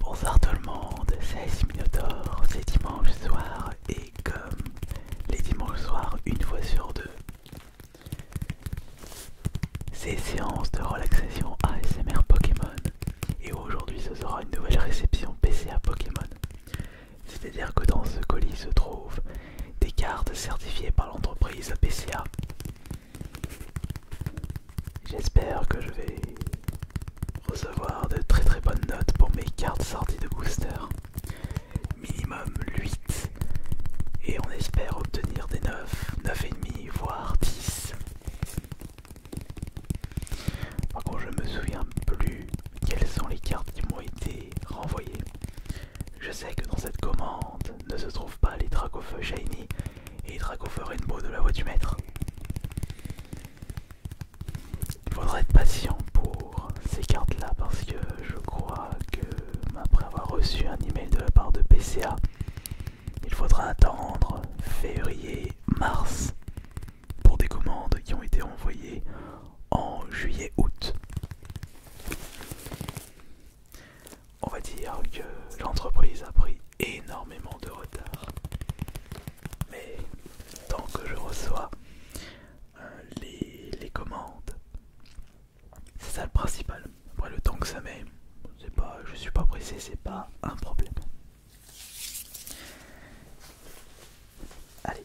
Bonjour tout le monde, c'est Minotaur, c'est dimanche soir et comme les dimanches soirs une fois sur deux, c'est séance de relaxation ASMR Pokémon et aujourd'hui ce sera une nouvelle réception PCA Pokémon. C'est-à-dire que dans ce colis se trouvent des cartes certifiées par l'entreprise PCA J'espère que je vais recevoir de très très bonnes notes pour mes cartes sorties de booster. Minimum 8. Et on espère obtenir des 9, demi voire 10. Par contre, je me souviens plus quelles sont les cartes qui m'ont été renvoyées. Je sais que dans cette commande ne se trouvent pas les feu Shiny, et une mot de la voix du maître. Il faudra être patient pour ces cartes là parce que je crois que après avoir reçu un email de la part de PCA, il faudra attendre février, mars pour des commandes qui ont été envoyées en juillet, août on va dire que l'entreprise a pris énormément de retard. Mais tant que je reçois euh, les, commandes, c'est ça le principal. Après le temps que ça met, pas, je suis pas pressé, c'est pas un problème. Allez.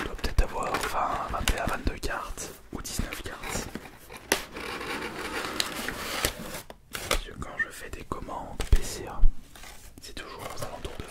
On doit peut-être avoir 20, à 22 cartes ou 19 cartes. Parce que quand je fais des commandes PCA c'est toujours aux alentours de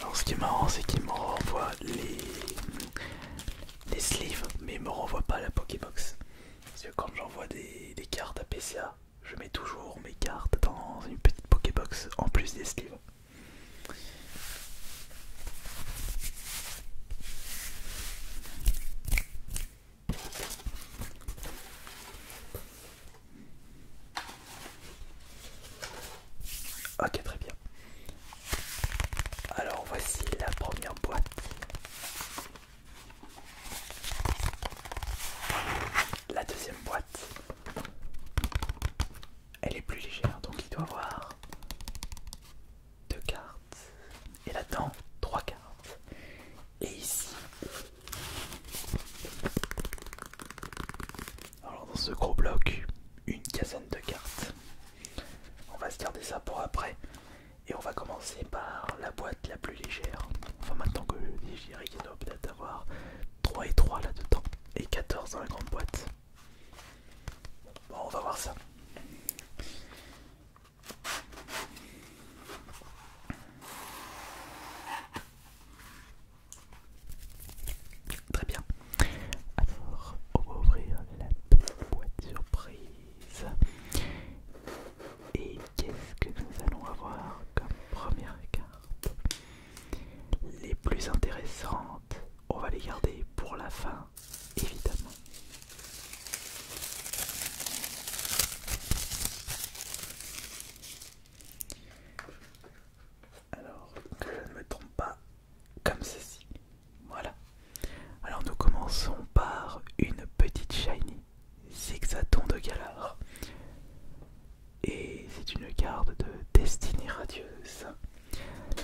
alors ce qui est marrant c'est qu'il me renvoie les... sleeves mais il me renvoie pas la Pokébox. Parce que quand j'envoie des... des cartes à PCA, je mets toujours mes cartes dans une petite Pokébox en plus des sleeves. Ok, très bien. Alors voici la première boîte. La deuxième boîte. Elle est plus légère, donc il doit avoir deux cartes. Et là-dedans, trois cartes. Et ici, alors dans ce gros bloc, une quinzaine de cartes. On va se garder ça pour après. Et on va commencer par la boîte la plus légère. Enfin maintenant que y qu'il doit peut-être avoir 3 et 3 là-dedans. Et 14 dans la grande boîte. Bon on va voir ça. Très bien. Alors, on va ouvrir la petite boîte surprise. Et qu'est-ce que nous allons avoir comme première carte Les plus intéressantes, on va les garder pour la fin, évidemment. Alors que je ne me trompe pas comme ceci. Voilà. Alors nous commençons par une petite shiny Zigzaton de galard Et c'est une garde de destinée radieuse.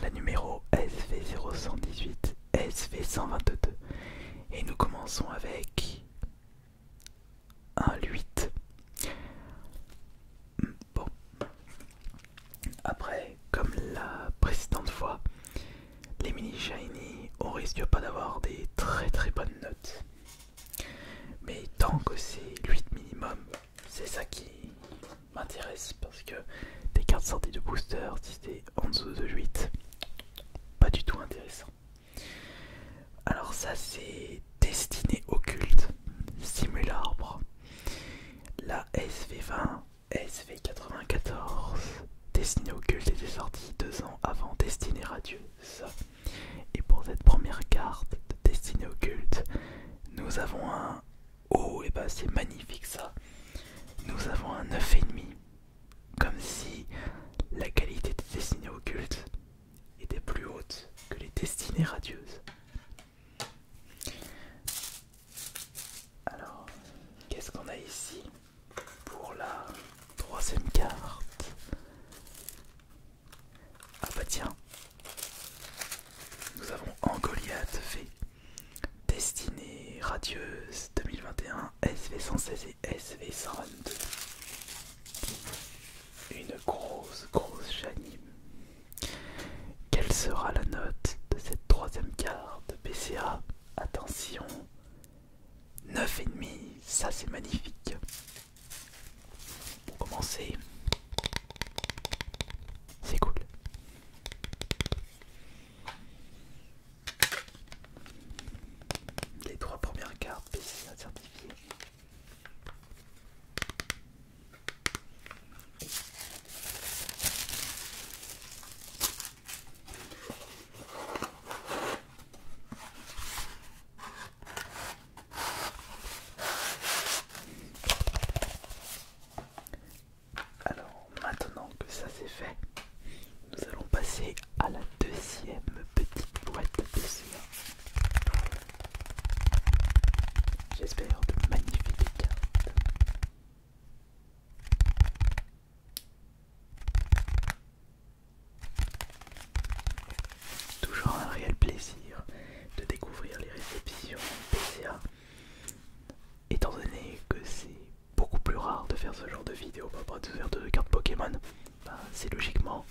La numéro SV0118, SV122. Et nous commençons avec un 8. Bon. Après, comme la précédente fois, les mini shiny, on risque pas d'avoir des très très bonnes notes. Mais tant que c'est 8 minimum, c'est ça qui m'intéresse parce que des cartes sorties de booster, si c'est en dessous de 8, pas du tout intéressant. Alors ça c'est Destinée occulte, Simularbre, la SV20, SV94, Destinée occulte était sortie deux ans avant Destinée radieuse. Et pour cette première carte de Destinée occulte, nous avons un... Oh, et bah c'est magnifique ça Nous avons un et demi, Comme si la qualité de Destinée Occulte était plus haute que les destinées radieuses. Alors, qu'est-ce qu'on a ici pour la troisième carte Ah bah tiens, nous avons Angoliath V, destinée radieuse 2021 SV116 et SV122. Une grosse, grosse chanime. Quelle sera la note de cette troisième carte PCA Attention 9,5, ça c'est magnifique. Pour commencer, c'est cool. Les trois premières cartes PCA certifiées. Alors maintenant que ça c'est fait, nous allons passer à la deuxième petite boîte de J'espère de magnifiques cartes. Toujours un réel plaisir de découvrir les réceptions PCA, étant donné que c'est beaucoup plus rare de faire ce genre de vidéo pas bah, rapport bah, de faire de cartes Pokémon, bah, c'est logiquement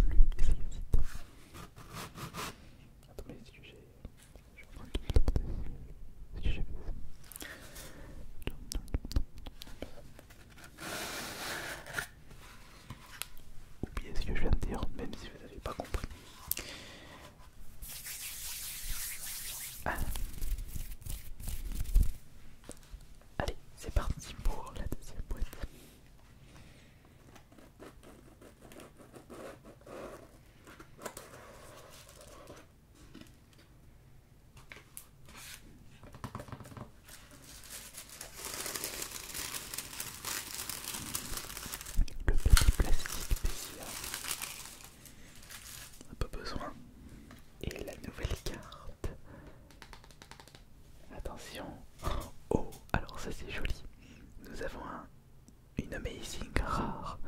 plus Attendez si tu j'ai. Je Oubliez ce que je viens de dire, même si vous n'avez pas compris. Ah. Allez, c'est parti pour la deuxième boîte. Le petit plastique Pas besoin. Et la nouvelle carte Attention. Oh, alors ça c'est joli. Nous avons une amazing rare.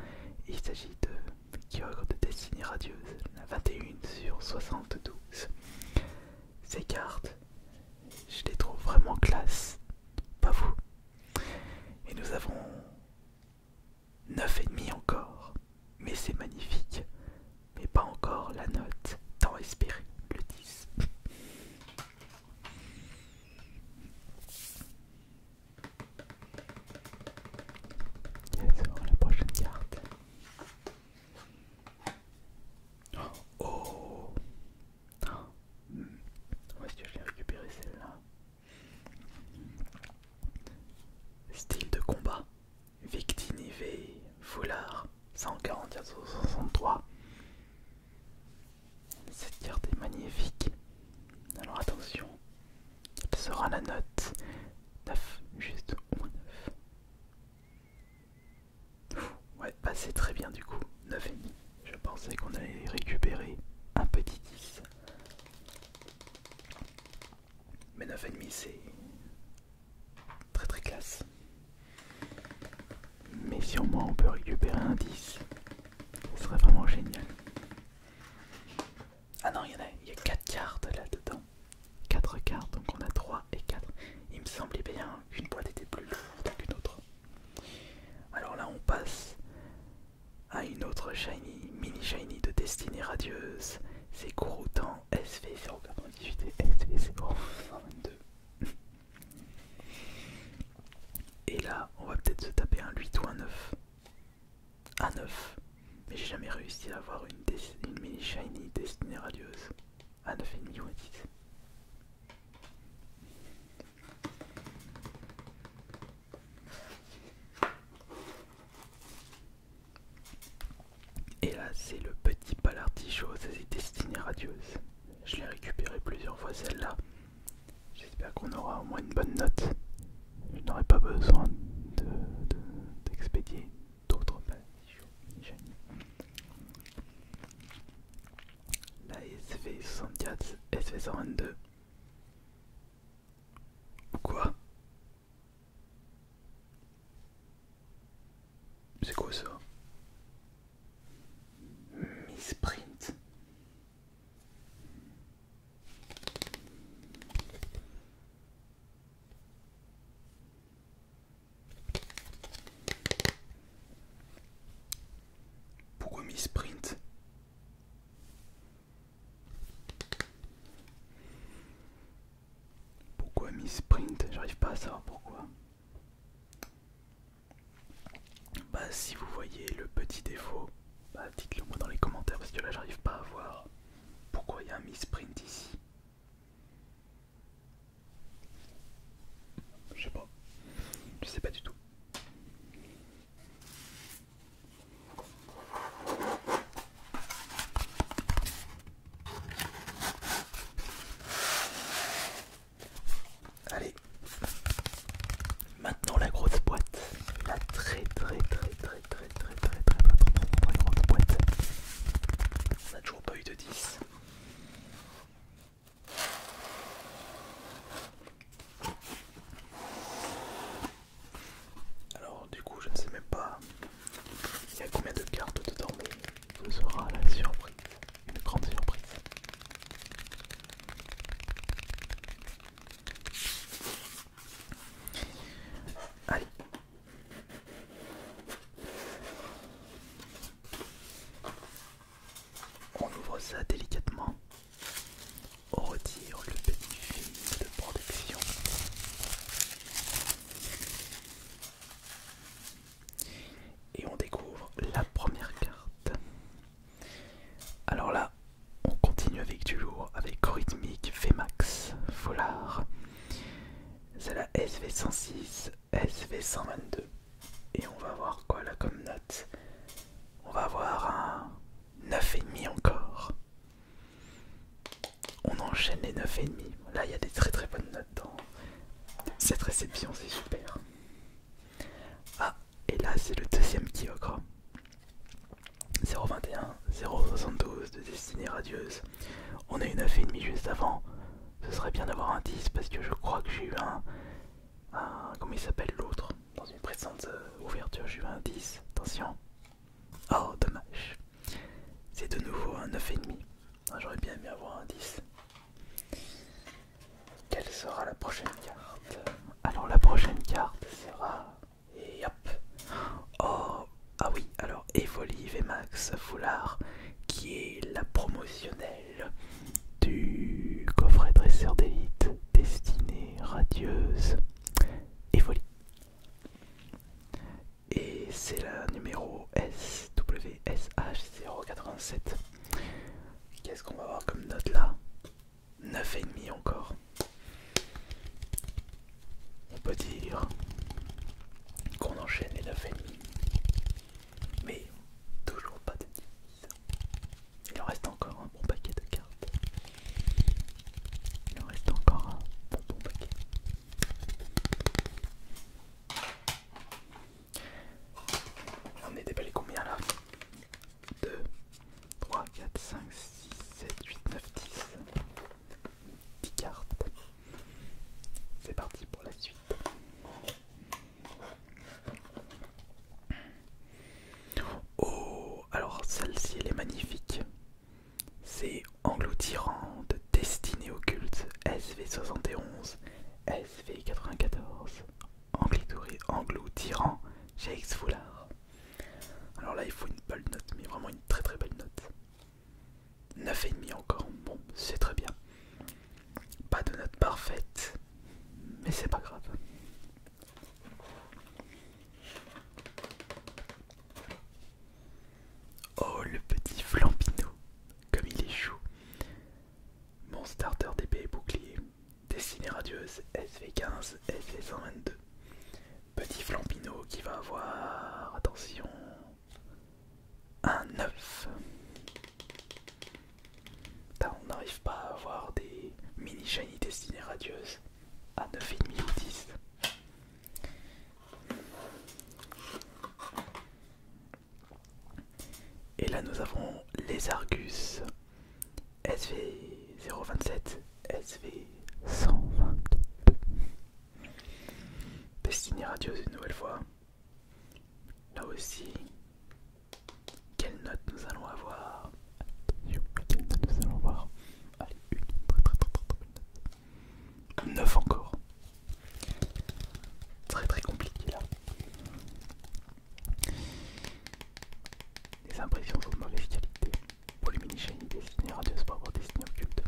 Il s'agit de Kyogre de Destinée Radieuse, la 21 sur 72. Ces cartes, je les trouve vraiment classe. Pas vous. Et nous avons 9,5 encore. Mais c'est magnifique. Mais pas encore la note tant espérée, le 10 c'est la prochaine carte. Oh, oh. est-ce que je l'ai récupéré celle-là Style de combat. Victinivé, foulard, 140 163. Cette carte est magnifique. Alors attention, quelle sera la note 9, juste au moins 9. Ouais, ah, c'est très bien du coup, 9,5. Je pensais qu'on allait récupérer un petit 10. Mais 9,5 c'est... Très très classe. Mais si au moins on peut récupérer un 10, ce serait vraiment génial. Ah non, il y en a, il y a 4 cartes là-dedans. 4 cartes, donc on a 3 et 4. Il me semblait bien qu'une boîte était plus lourde qu'une autre. Alors là, on passe à une autre shiny, mini shiny de destinée radieuse. C'est Gouroutan SV098 et SV022. Et là, on va peut-être se taper un 8 ou un 9. Un 9. Mais j'ai jamais réussi à avoir une, mini shiny Destiny radieuse. Un 9,5 ou un 10. Et là, c'est le petit palartichaud, ça c'est Destiny radieuse. Je l'ai récupéré plusieurs fois celle-là. J'espère qu'on aura au moins une bonne note. Je n'aurai pas besoin d'expédier de, d'expédier d'autres pages. La SV64, SV122. Ou quoi C'est quoi ça Miss Pourquoi Miss Sprint Pourquoi Miss Sprint J'arrive pas à savoir pourquoi. Bah si vous voyez le petit défaut, bah dites-le moi dans les commentaires parce que là j'arrive pas à voir pourquoi il y a un misprint ici. Je sais pas. Je sais pas du tout. Allez, maintenant la grosse boîte, la très très très très très très très très très grosse boîte. On a toujours pas eu de 10. Alors du coup je ne sais même pas il y a combien de cartes de dormir. ce sera la surprise une grande surprise. Allez. On ouvre ça délicatement. On retire le petit film de protection. Et on découvre la première carte. Alors là, on continue avec du lourd, avec rythmique Vmax Follard. C'est la SV106, SV122. Et on va voir quoi là comme note On va avoir un 9,5 encore. On enchaîne les 9,5. Là, il y a des très très bonnes notes dans Cette réception, c'est super. Ah, et là, c'est le deuxième ocre 021, 072 de destinée radieuse. On a eu 9,5 juste avant. Ce serait bien d'avoir un 10 parce que je crois que j'ai eu un, Comment il s'appelle l'autre Dans une précédente euh, ouverture, j'ai eu un 10. Attention. Oh, dommage. C'est de nouveau un 9,5. Ah, j'aurais bien aimé avoir un 10. Quelle sera la prochaine carte Alors la prochaine carte sera... hop Oh Ah oui, alors Evoli et Max Foulard, qui est la promotionnelle du coffret dresseur d'élite destinée radieuse Evoli et c'est la numéro SWSH087. Qu'est-ce qu'on va avoir comme note là 9,5 encore. On peut dire qu'on enchaîne les 9,5. Mais toujours pas de 10. Il en reste encore un bon paquet de cartes. Il en reste encore un bon paquet. On est déballé combien là 2, 3, 4, 5, 6, 7, 8, 9, 10. 10 cartes. C'est parti pour la suite. Oh, alors celle-ci elle est magnifique. C'est de Destiné au culte SV71, SV94, Anglitouré, Anglou, Tyran, JX Foulard. Alors là, il faut une belle note, mais vraiment une très très belle note. 9,5 encore, bon, c'est très bien. Pas de note parfaite, mais c'est pas grave. Oh le petit Flampino, comme il est chou. Mon starter d'épée et bouclier, destinée radieuse SV15, SV122. Petit Flampino qui va avoir, attention, un 9. Putain, on n'arrive pas à avoir des mini shiny destinées radieuses à 9,5 ou 10. Et là nous avons les Argus SV027, SV122. Destiné Radios une nouvelle fois. Là aussi, quelle note nous allons avoir Attention, quelle note nous allons avoir Allez, une, 9 encore. Très très compliqué là. Les impressions sont de mauvaise qualité. Pour les mini-shiny destinés à Radios pour avoir occulte.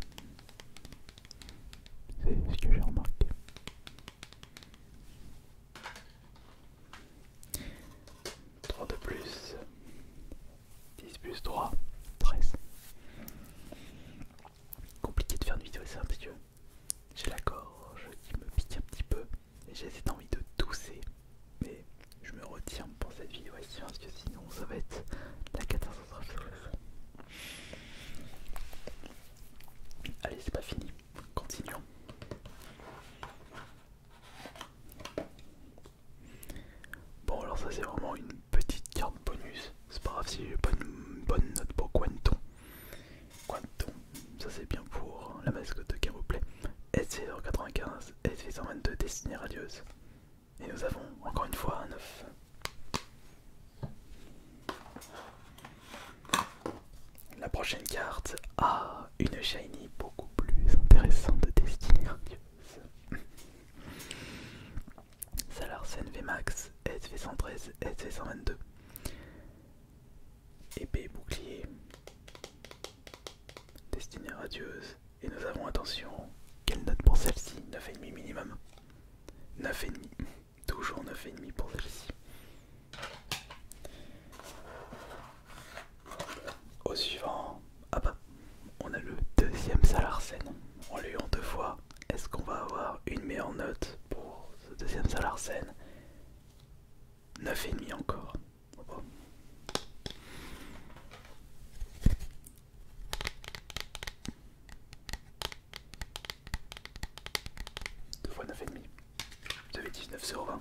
C'est ce que j'ai remarqué. 3 de plus. 10 plus 3, 13 compliqué de faire une vidéo un parce que j'ai la gorge qui me pique un petit peu et j'ai cette envie de tousser mais je me retiens pour cette vidéo ici parce que sinon ça va être la catastrophe allez c'est pas fini continuons bon alors ça c'est vraiment une petite carte bonus. C'est pas grave si bonne une bonne note pour Quenton Quenton ça c'est bien pour la mascotte de plaît s 095 S622, Destinée radieuse. Et nous avons encore une fois un 9. La prochaine carte a une shiny beaucoup plus intéressante de Destinée radieuse. Salarsen VMAX, SV113, SV122. Épée bouclier. Destinée radieuse. Et nous avons attention. Quelle note pour celle-ci 9,5 minimum. 9,5. Toujours 9,5 pour celle-ci. Au suivant, ah bah, on a le deuxième Salarsen. On lui en deux fois est-ce qu'on va avoir une meilleure note pour ce deuxième et 9,5 encore. Oh. Deux fois 9,5. 2,19 sur 20.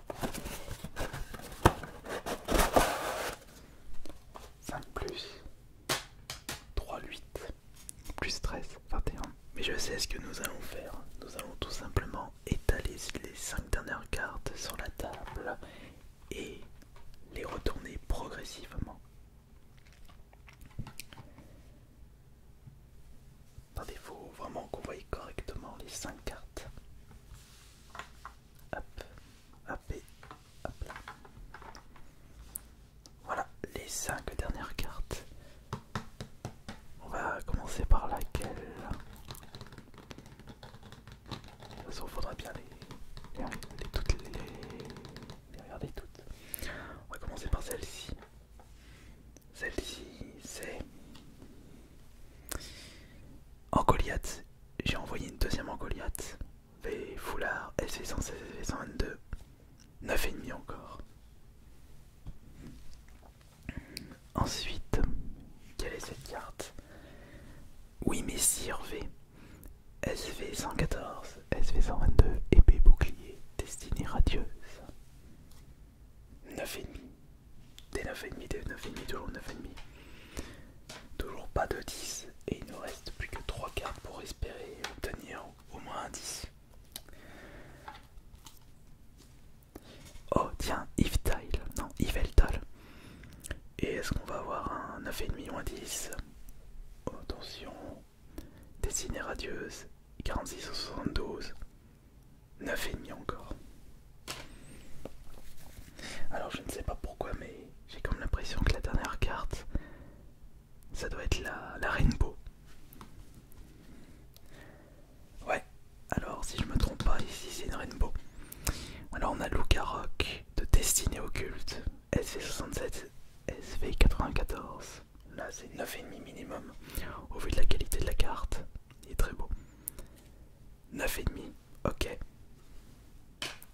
5 plus 3, 8 plus 13, 21. Mais je sais ce que nous allons faire. Nous allons tout simplement étaler les 5 dernières cartes sur la table et les retourner progressivement. Attendez, il faut vraiment qu'on voit correctement les 5 cartes. Hop, hop Voilà, les 5 dernières cartes. On va commencer par laquelle De toute façon, il faudra bien les, toutes, les regarder toutes. On va commencer par celle-ci. Celle-ci, c'est en Goliath. J'ai envoyé une deuxième en Goliath. Foulard, foulard SV116 SV122. 9,5 encore. Ensuite, quelle est cette carte Oui, mais V. SV114, SV122, épée bouclier, destinée radieuse. 9,5. Des 9,5, des 9,5, toujours 9,5. Toujours pas de 10. Et il nous reste plus que 3 cartes pour espérer obtenir au moins un 10. Oh tiens, Yves Tile, non, Yves Et est-ce qu'on va avoir un 9,5 ou un 10 Attention, dessinée radieuse, 46 ou 72. 9,5 encore. Alors je ne sais pas pourquoi, mais j'ai quand même l'impression que la dernière carte, ça doit être la, Rainbow. Ouais, alors si je me trompe pas, ici c'est une Rainbow. Alors on a Rock de Destinée Occulte, SV67, SV94. Là c'est 9,5 minimum au vu de la qualité de la carte il est très beau. 9,5, ok.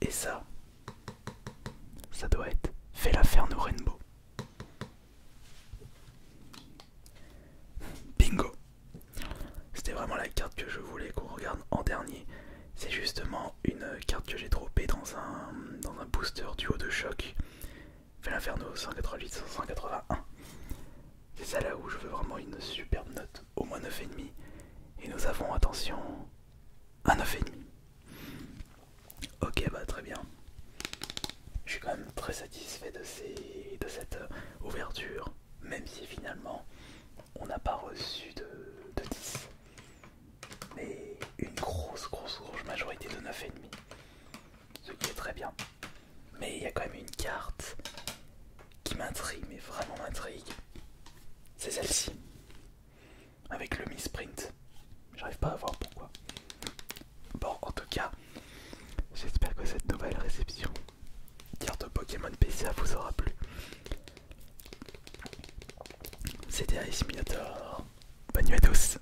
Et ça, ça doit être Fais Rainbow. Bingo! C'était vraiment la carte que je voulais qu'on regarde en dernier. C'est justement une carte que j'ai dropée dans un, dans un booster haut de choc. Fait l'inferno 188-181. C'est ça là où je veux vraiment une superbe note, au moins 9,5. Et nous avons, attention, un 9,5. Ok, bah très bien. Je suis quand même très satisfait de, ces, de cette euh, ouverture, même si finalement on n'a pas reçu de, de 10. Mais une grosse, grosse, grosse majorité de 9,5 ce qui est très bien. Mais il y a quand même une carte qui m'intrigue, mais vraiment m'intrigue. C'est celle-ci. Avec le misprint. J'arrive pas à voir pourquoi. Bon, en tout cas, j'espère que cette nouvelle réception carte Pokémon PCA vous aura plu. C'était Ice Bonne nuit à tous.